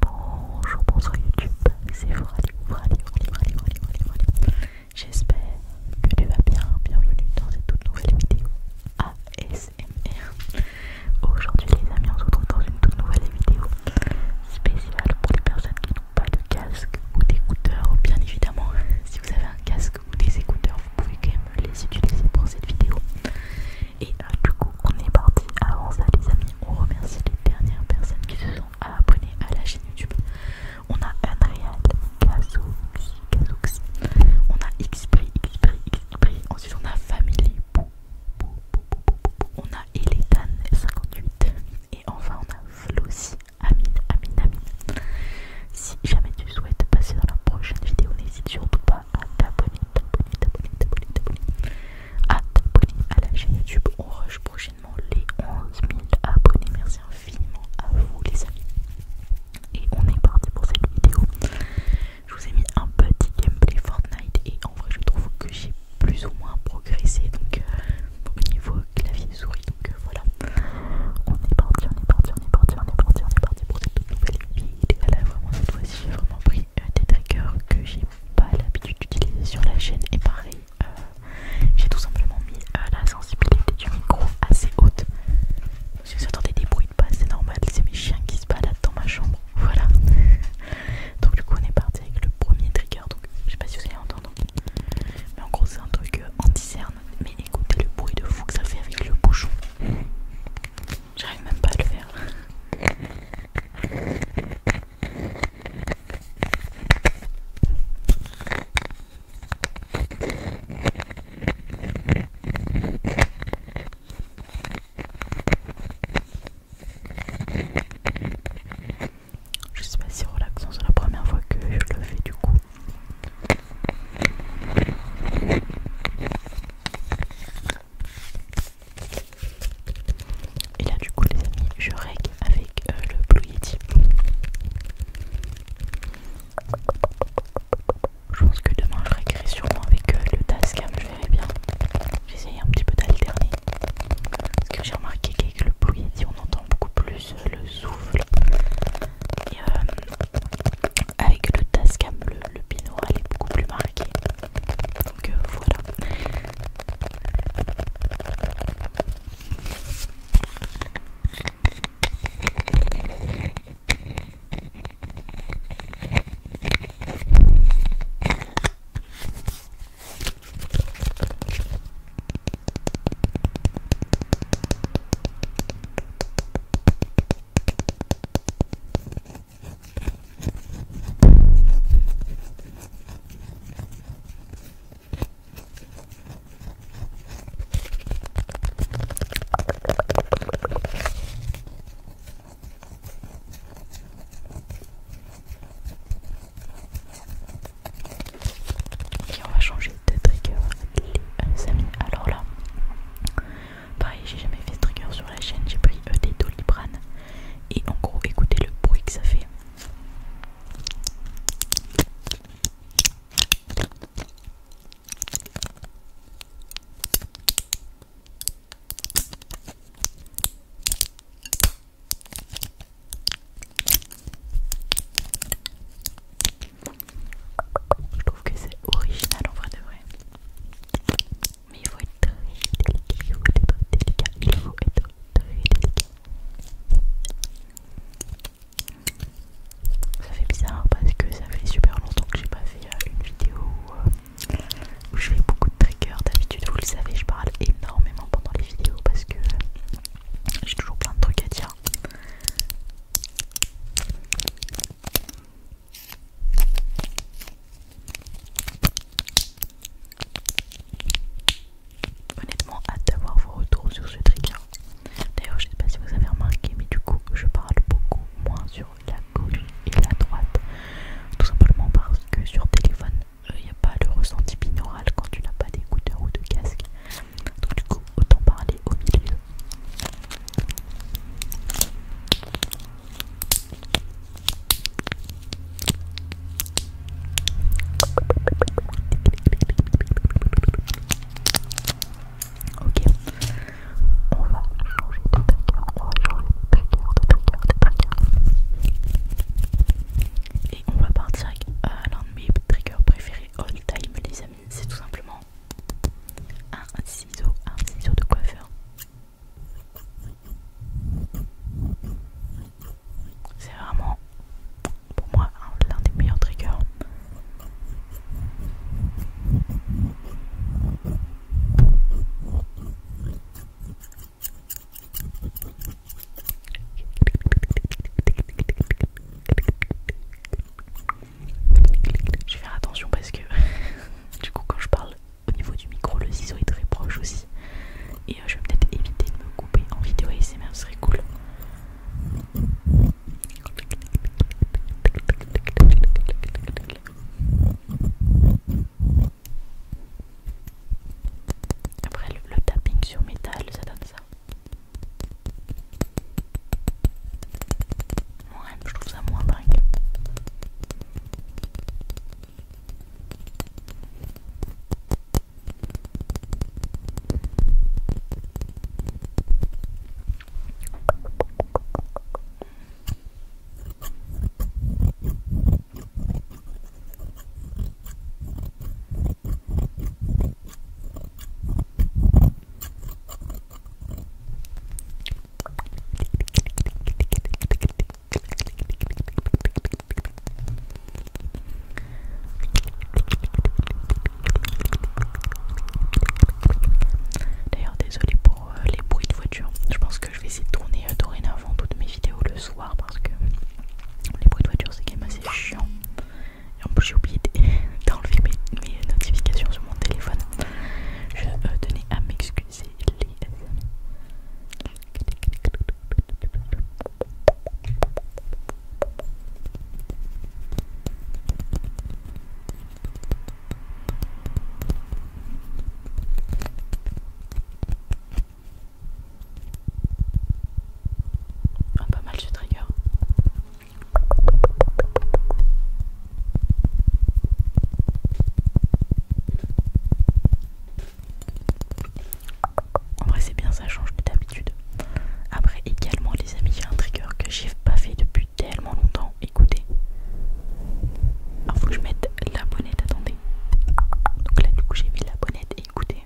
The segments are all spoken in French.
Bonjour, bonsoir YouTube, c'est Frali, Frali, Frali, Frali, J'espère que tu vas bien, bienvenue dans cette toute nouvelle vidéo ASMR. Aujourd'hui les amis, on se retrouve dans une toute nouvelle vidéo spéciale pour les personnes qui n'ont pas de casque ou d'écouteurs. Bien évidemment, si vous avez un casque ou des écouteurs, vous pouvez quand même les utiliser pour cette vidéo. Et euh, du coup, on est parti. Avant ça, les amis, on remercie les dernières personnes qui se sont abonnées à la chaîne YouTube. On a Unreal, Kazooxi, On a X-Prix, x Ensuite, on a Family, on a Eletan58. Et enfin, on a Flossi, Amine, Amine, Amine. Si jamais tu souhaites passer dans la prochaine vidéo, n'hésite surtout pas à t'abonner t'abonner, t'abonner, t'abonner à t'abonner à la chaîne YouTube. On rush prochainement les 11 000 abonnés. Merci infiniment à vous les amis. Et on est parti pour cette vidéo. Je vous ai mis un petit gameplay Fortnite et en vrai je trouve que j'ai plus ou moins progressé donc au niveau clavier souris donc voilà. On est parti, on est parti, on est parti, on est parti, on est parti pour cette nouvelle vidéo. Là vraiment cette fois-ci j'ai vraiment pris des triggers que j'ai pas l'habitude d'utiliser sur la chaîne et pareil euh, j'ai tout simplement mis euh, la sensibilité du micro assez haute si vous entendez des bruits de pas c'est normal c'est mes chiens qui se baladent dans ma chambre voilà donc du coup on est parti avec le premier trigger donc je sais pas si vous allez entendre mais en gros c'est un truc anti-cerne euh, mais écoutez le bruit de fou que ça fait avec le bouchon J'arrive même pas à le faire. Je sais pas si relaxant, c'est la première fois que je le fais du coup. Et là du coup les amis je règle avec euh, le Blue Yeti. Je pense que demain je réglerai sûrement avec euh, le Tascam, hein, je verrai bien. J'essaye un petit peu d'alterner. Parce que j'ai remarqué qu'avec le Blue Yeti on entend beaucoup plus euh, le souffle. Et avec le Tascam, hein, le, le binaural est beaucoup plus marqué. Donc euh, voilà. Et on va changer de trigger, les amis. Alors là, Pareil, j'ai jamais fait ce trigger sur la chaîne, j'ai pris des des Doliprane. Et en gros, écoutez le bruit que ça fait. Je trouve que c'est original en vrai de vrai mais il faut être très délicat, il faut être très délicat. Ça fait bizarre parce que ça fait super longtemps que j'ai pas fait euh, une vidéo euh, où, je fais beaucoup de triggers. D'habitude, vous le savez, je parle énormément pendant les vidéos parce que j'ai toujours plein de trucs à dire. Honnêtement, hâte d'avoir vos retours sur ce trigger. Hein. D'ailleurs, je ne sais pas si vous avez remarqué, mais du coup, je parle beaucoup moins sur la gauche et la droite. Tout simplement parce que sur téléphone, il euh, n'y a pas le ressenti binaural quand tu n'as pas d'écouteur ou de casque. Donc, du coup, autant parler au milieu. Ok, on va changer de trigger, on va changer de trigger, de trigger, de trigger. Et on va partir avec un euh, l'un de mes triggers préférés all time les amis, c'est tout simplement un ciseau, un ciseau de coiffeur. C'est vraiment pour moi l'un des meilleurs triggers. Je vais faire attention parce que du coup quand je parle au niveau du micro, le ciseau est très proche aussi. Et euh, je vais peut-être éviter de me couper en vidéo C'est ce serait cool. Après le tapping sur métal, ça donne ça. Ouais, je trouve ça moins dingue. D'ailleurs, désolé pour euh, les bruits de voiture. Je pense que je vais essayer de tourner euh, dorénavant toutes mes vidéos le soir parce que les bruits de voiture c'est quand même assez chiant. Et en plus, j'ai oublié d'enlever mes, notifications sur mon téléphone. Je euh, tenais à m'excuser c'est les amis. pas mal ce trigger. En vrai c'est bien, ça change d'habitude. Après également les amis, j'ai un trigger que j'ai pas fait depuis tellement longtemps. Écoutez. il ah, faut que je mette la bonnette, attendez. Donc là du coup j'ai mis la bonnette, écoutez.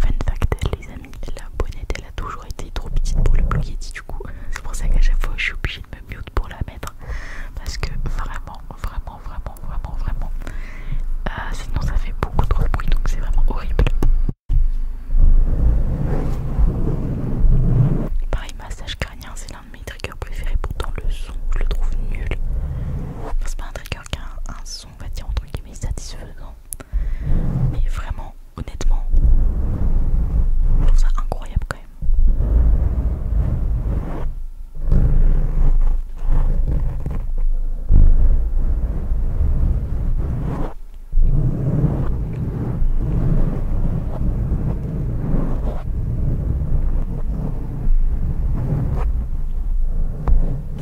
Fun fact les amis, la bonnette elle a toujours été trop petite pour le bloquer du coup c'est pour ça qu'à chaque fois je suis obligée de me mute pour la mettre parce que vraiment vraiment vraiment vraiment vraiment euh, sinon ça fait beaucoup trop de bruit donc c'est vraiment horrible pareil massage crânien c'est l'un de mes triggers préférés pourtant le son je le trouve nul c'est pas un trigger qui a un, son on va dire entre guillemets satisfaisant mais vraiment, honnêtement, tout ça incroyable quand même.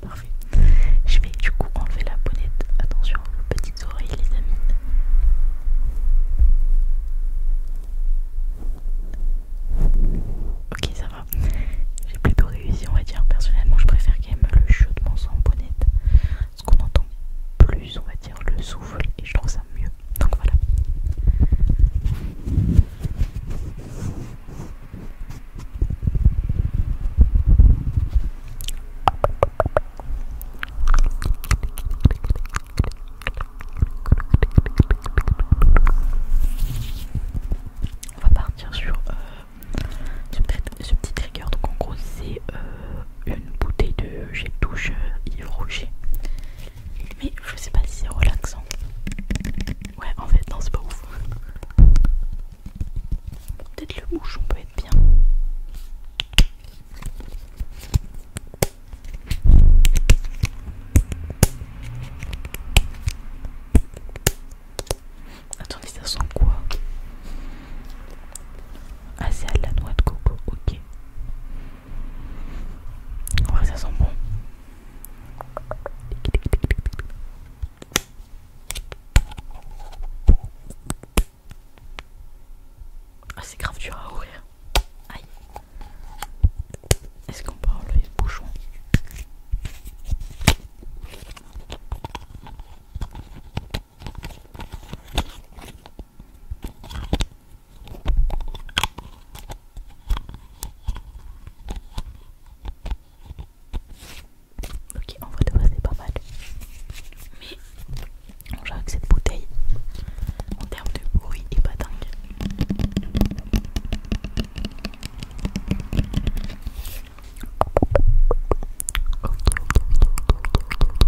parfait. Je vais du coup enlever la bonnette. Attention aux petites oreilles les amis. Ok ça va. J'ai plutôt réussi on va dire. Personnellement je préfère quand même le chaudement sans bonnette. ce qu'on entend plus on va dire le souffle et je trouve ça mieux. Donc voilà. On va partir sur euh, ce, petit, trigger. Donc en gros c'est euh, une bouteille de jetouche de douche euh, Mais je sais pas si c'est relaxant. Ouais en fait non c'est pas ouf peut-être le on peut être bien. Attendez, ça sent quoi Ah, c'est à la noix de coco, ok. Ouais, ça sent bon. Ah, c'est grave dur à ouvrir. Aïe. Est-ce qu'on parle les le bouchon Ok, en vrai de vrai, c'est pas mal. Mais on dirait que cette bouteille, en termes de bruit, est pas dingue.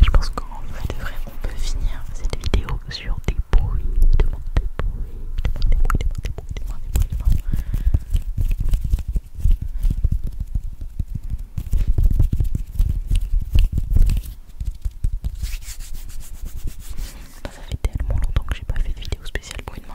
Je pense qu'en vrai de vrai, on peut finir cette vidéo sur des bruits, de bruits, des bruits, des bruits, des bruits, des des bruits, des bah, ça fait tellement longtemps que j'ai pas fait de vidéo spéciale pour une main.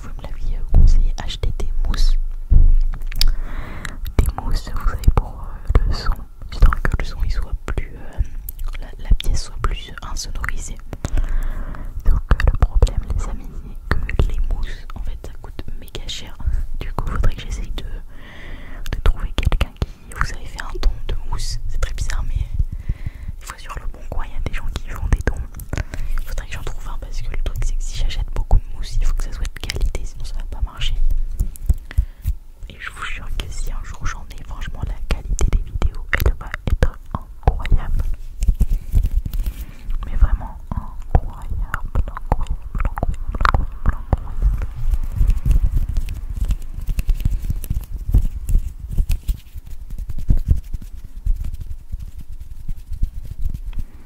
vous me l'aviez conseillé, achetez des mousses. Des mousses, vous savez, pour euh, le son, histoire que le son il soit plus. Euh, la, pièce soit plus insonorisée. Donc, euh, le problème, les amis, c'est que les mousses, en fait, ça coûte méga cher. Du coup, faudrait que j'essaye de, trouver quelqu'un qui. Vous avez fait un don de mousse, c'est très bizarre, mais. il faut sur le bon coin, il y a des gens qui font des dons il faudrait que j'en trouve un parce que le truc c'est que si j'achète beaucoup de mousse, il faut que ça soit de qualité, sinon ça va pas marcher. Et je vous jure que si un jour j'en ai, franchement la qualité des vidéos elle va être incroyable. Mais vraiment incroyable, incroyable, incroyable, incroyable, incroyable.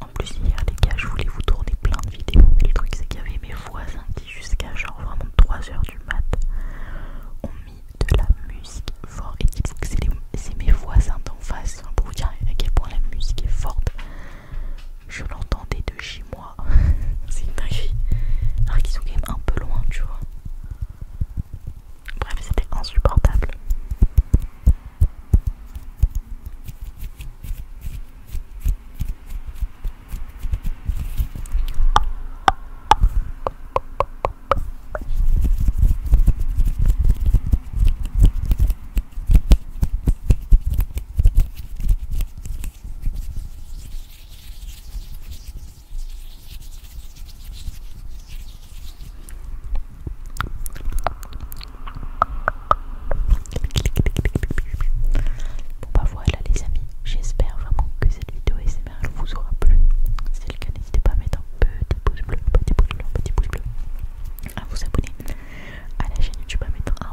En plus hier les gars je voulais vous tourner plein de vidéos mais le truc c'est qu'il y avait mes voisins qui jusqu'à genre vraiment 3h du mat ont mis de la musique forte et dites-vous que c'est mes voisins d'en face pour vous dire à quel point la musique est forte. Je l'entendais de chez moi c'est une magie Alors qu'ils sont quand même un peu loin, tu vois. Bref, c'était insupportable. Bon bah voilà les amis, j'espère vraiment que cette vidéo SMR vous aura plu. Si c'est le cas, n'hésitez pas à mettre un petit pouce bleu, petit pouce bleu, petit pouce bleu, à vous abonner à la chaîne YouTube, à mettre un